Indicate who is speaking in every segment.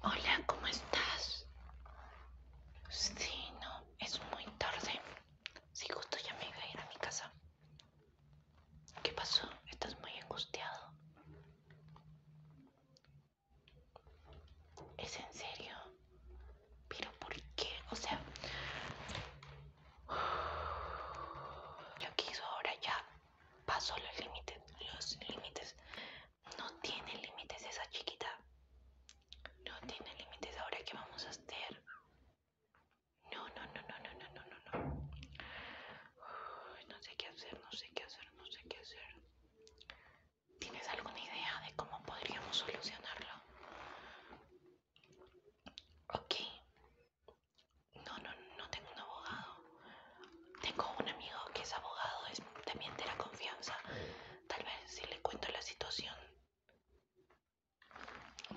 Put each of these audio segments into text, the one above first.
Speaker 1: Hola, ¿cómo estás? Sí, no, es muy tarde. Si justo ya me iba a ir a mi casa. ¿Qué pasó? ¿Estás muy angustiado? ¿Es en serio? pero ¿por qué? O sea, lo que hizo ahora ya pasó los límites, los límites. No tiene límites esa chiquita. No tiene límites ahora que vamos a hacer. No, no, no, no, no, no, no, no, no. No sé qué hacer, no sé qué hacer, no sé qué hacer. ¿Tienes alguna idea de cómo podríamos solucionarlo? Ok. No, no, no tengo un abogado. Tengo un amigo que es abogado, es también de la confianza. Tal vez si le cuento la situación.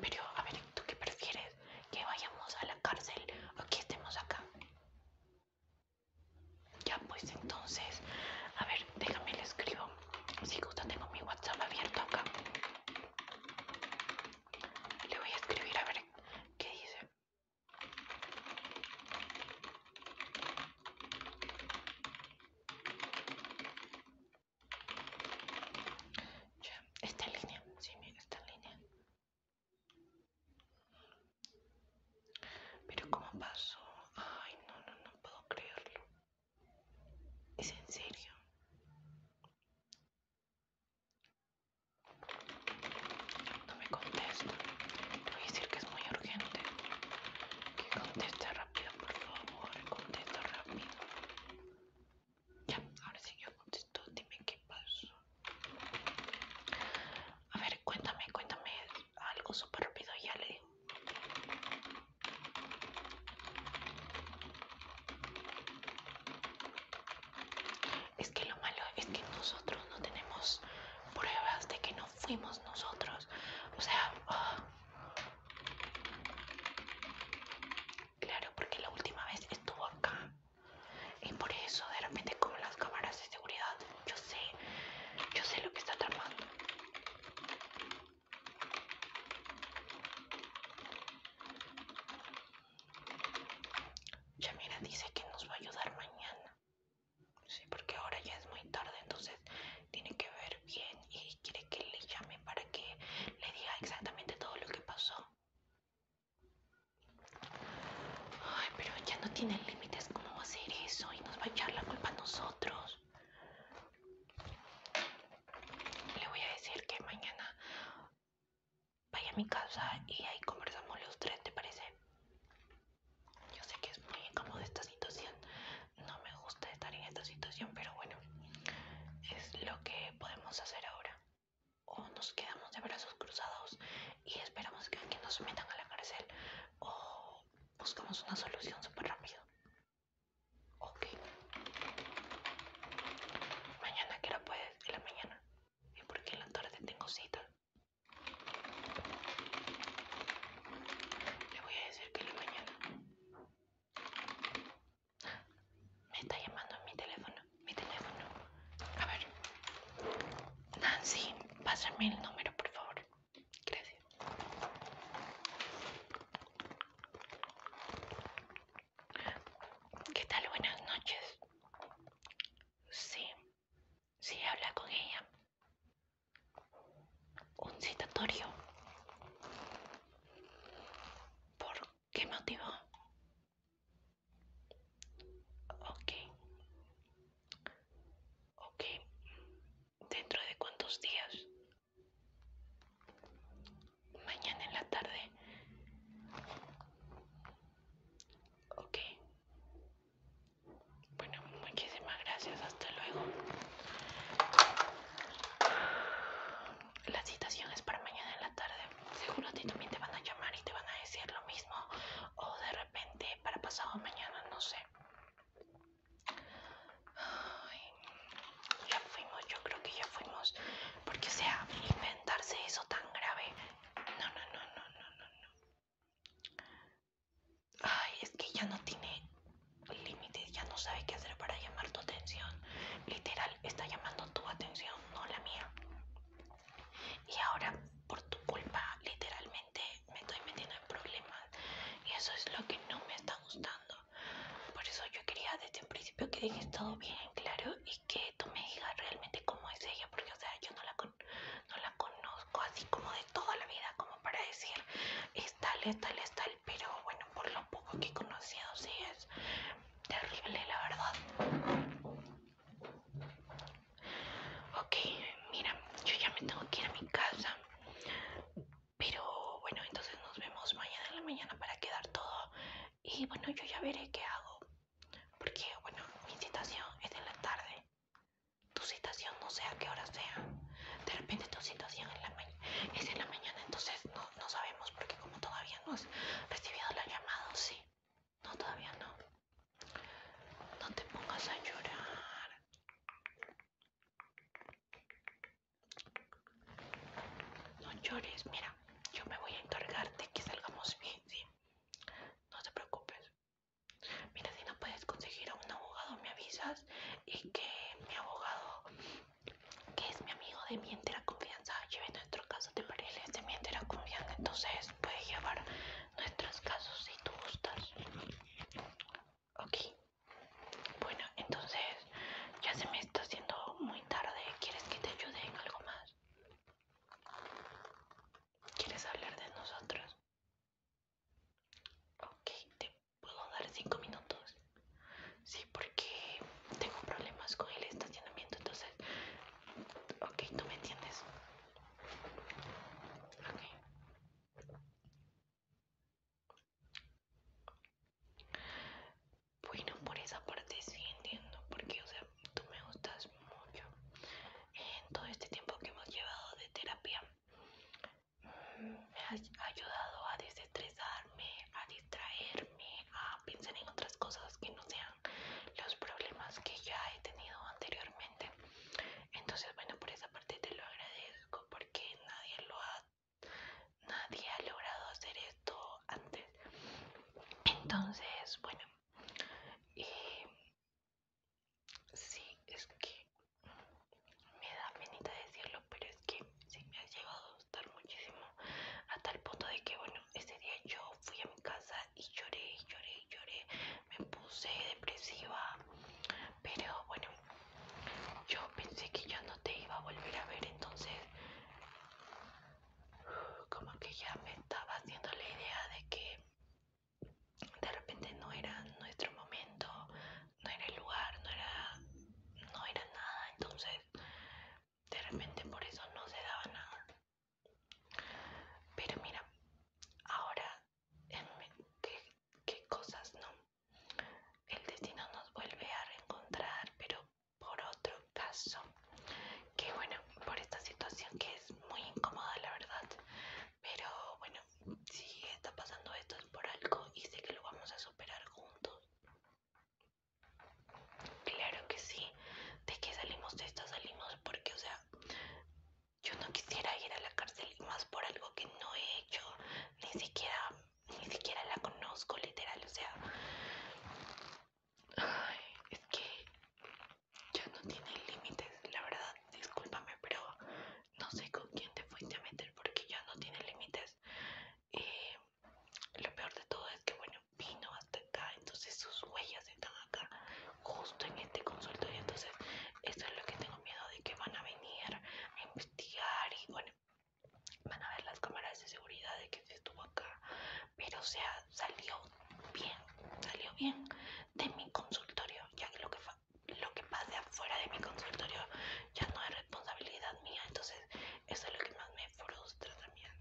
Speaker 1: Pero, a ver, ¿tú qué prefieres? ¿Que vayamos a la cárcel o que estemos acá? Ya, pues entonces, a ver, déjame le escribo si gusta, tengo mi WhatsApp abierto acá. Le voy a escribir a ver qué dice. Ya, está en línea. Sí, mira, está en línea. Pero, ¿cómo pasó? Ay, no, no, no puedo creerlo. ¿Es en serio? No me contesta. te voy a decir que es muy urgente. Que conteste rápido, por favor. Contesta rápido. Ya, ahora sí yo contesto. Dime qué pasó. A ver, cuéntame, cuéntame algo súper rápido. Ya le es que lo malo es que nosotros no tenemos pruebas de que no fuimos nosotros. O sea, ah. claro, porque la última vez estuvo acá. Y por eso de repente como las cámaras de seguridad, yo sé, yo sé lo que está atrapando Yamira dice que nos va a ayudar mañana. Sí, porque ahora ya es muy tarde, entonces tiene que ver bien y quiere que le llame para que le diga exactamente todo lo que pasó. Ay, pero ya no tiene límites, ¿cómo va a hacer eso? Y nos va a echar la culpa a nosotros. Le voy a decir que mañana vaya a mi casa y ahí conversamos los tres, ¿te parece? Yo sé que es muy incómoda esta situación, no me gusta estar en esta situación, pero bueno, es lo que podemos hacer ahora. O nos quedamos de brazos cruzados y esperamos que nos metan a la cárcel, o buscamos una solución súper rápido. Ok. Mañana, ¿qué la puedes? En la mañana. ¿Y por qué en la tarde tengo cita? Le voy a decir que en la mañana. Me está llamando mi teléfono. Mi teléfono. A ver. Nancy, pásame el número, por favor. Gracias. ¿Qué tal? Buenas noches. Sí, sí, habla con ella. Un citatorio. ¿Por qué motivo? Ok. Ok. ¿Dentro de cuántos días? Mañana en la tarde. Ok. Bueno, muchísimas gracias. Hasta luego. La citación es para mañana en la tarde. Seguro a ti también te van a llamar y te van a decir lo mismo. O de repente para pasado mañana, no sé. Ay, ya fuimos, yo creo que ya fuimos. Porque, o sea, inventarse eso tan grave. No, no, no, no, no, no, no. Ay, es que ya no tiene límites, ya no sabe qué hacer para llamar tu atención. Literal, está llamando tu atención, no la mía. Y ahora, por tu culpa, literalmente me estoy metiendo en problemas. Y eso es lo que no me está gustando. Por eso yo quería desde el principio que dejes todo bien claro y que tú me digas realmente cómo es ella, porque o sea, yo no la, no la conozco así como de toda la vida, como para decir es tal, es tal, es tal, pero bueno, por lo poco que he conocido, sí es terrible, la verdad. Ok, mira, yo ya me tengo que ir a mi casa. Pero bueno, entonces nos vemos mañana en la mañana para quedar todo. Y bueno, yo ya veré qué hago. Porque bueno, mi citación es en la tarde. Tu citación no sé a qué hora sea. De repente tu citación es en la mañana, entonces no, no sabemos porque como todavía no has recibido la llamada, sí. No, todavía no. No te pongas a llorar. No llores, mira, yo me voy a encargar de que salgamos bien, ¿sí? No te preocupes. Mira, si no puedes conseguir a un abogado, me avisas y que mi abogado, que es mi amigo de mi entera confianza, lleve nuestro caso, de parece? de mi entera confianza, entonces puede llevar nuestros casos si tú gustas. Ok. Bueno, entonces ya se me está haciendo muy tarde. ¿Quieres que te ayude en algo más? ¿Quieres hablar de nosotros? Ok, te puedo dar cinco minutos. Sí, porque tengo problemas con el estacionamiento, entonces... Ok, tú me entiendes. Ok. Bueno, por esa parte sí entiendo, porque, o sea, tú me gustas mucho. En todo este tiempo que hemos llevado de terapia, mm, me has ayudado a desestresarme, a distraerme, a pensar en otras cosas que no sean los problemas que ya he tenido anteriormente. Entonces, bueno, por esa parte te lo agradezco, porque nadie lo ha Nadie ha logrado hacer esto antes. Entonces, bueno, eh, sí, es que me da penita decirlo, pero es que sí me ha llevado a gustar muchísimo a tal punto de que, bueno, ese día yo fui a mi casa y lloré, lloré, lloré, me puse depresiva, pero bueno, yo pensé que ya no te iba a volver a ver, entonces como que ya me estaba haciendo la idea de que de repente no era nuestro momento, no era el lugar, no era, nada, entonces de repente por eso no se daba nada. Pero mira, ahora, em, ¿qué, qué cosas no? El destino nos vuelve a reencontrar, pero por otro caso. Que bueno, por esta situación que es muy incómoda, la verdad. Pero bueno, si está pasando esto es por algo y sé que lo vamos a superar juntos. Claro que sí. De que salimos de esto, salimos porque, o sea, yo no quisiera ir a la cárcel más por algo que no he hecho. Ni siquiera ni siquiera la conozco literal, o sea, es que ya no tiene límites, la verdad, discúlpame, pero no sé con quién te fuiste a meter porque ya no tiene límites. y lo peor de todo es que, bueno, vino hasta acá, entonces sus huellas están acá, justo en este consultorio, entonces eso es lo que tengo miedo de que van a venir y bueno, van a ver las cámaras de seguridad de que estuvo acá. Pero o sea, salió bien, salió bien de mi consultorio, ya que lo que, lo que pase afuera de mi consultorio ya no es responsabilidad mía. Entonces, eso es lo que más me frustra también.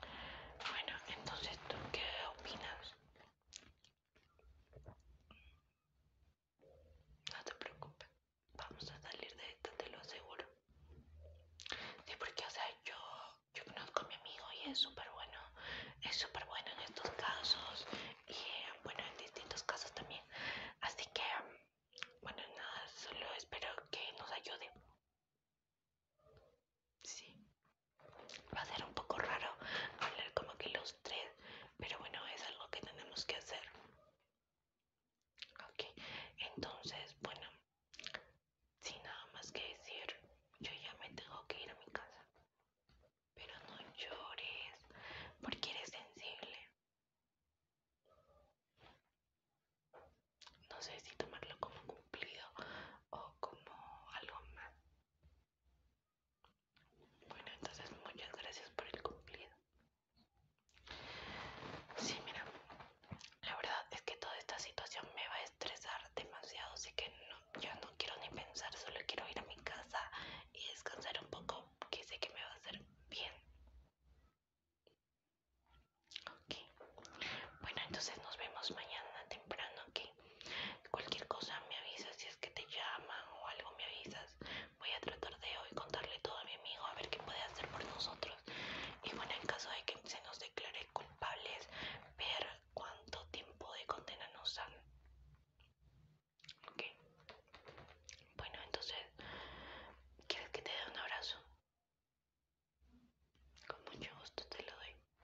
Speaker 1: Bueno, entonces, ¿tú qué opinas? No te preocupes, vamos a salir de esto te lo aseguro. Sí, porque, o sea, yo, yo conozco a mi amigo y es súper bueno, es súper bueno en estos casos y, bueno, en distintos casos también. Así que, bueno, nada, solo espero que nos ayude. Sí, va a ser un poco raro hablar como que los tres, pero bueno, es algo que tenemos que hacer. Ok, entonces, bueno, sin nada más que decir, yo ya me tengo que ir a mi casa. Pero no llores, porque eres sensible. No sé si tomarlo como cumplido o como algo más. Bueno, entonces muchas gracias por el cumplido. Sí, mira, la verdad es que toda esta situación me va a estresar demasiado, así que no, yo no quiero ni pensar, solo quiero ir a mi casa y descansar un poco, que sé que me va a hacer bien. Ok, bueno, entonces nos vemos mañana temprano, Que Cualquier cosa me avisas, si es que te llaman o algo me avisas, voy a tratar de hoy contarle todo a mi amigo a ver qué puede hacer por nosotros y bueno en caso de que se nos declare culpables ver cuánto tiempo de condena nos dan ok bueno entonces quieres que te dé un abrazo con mucho gusto te lo doy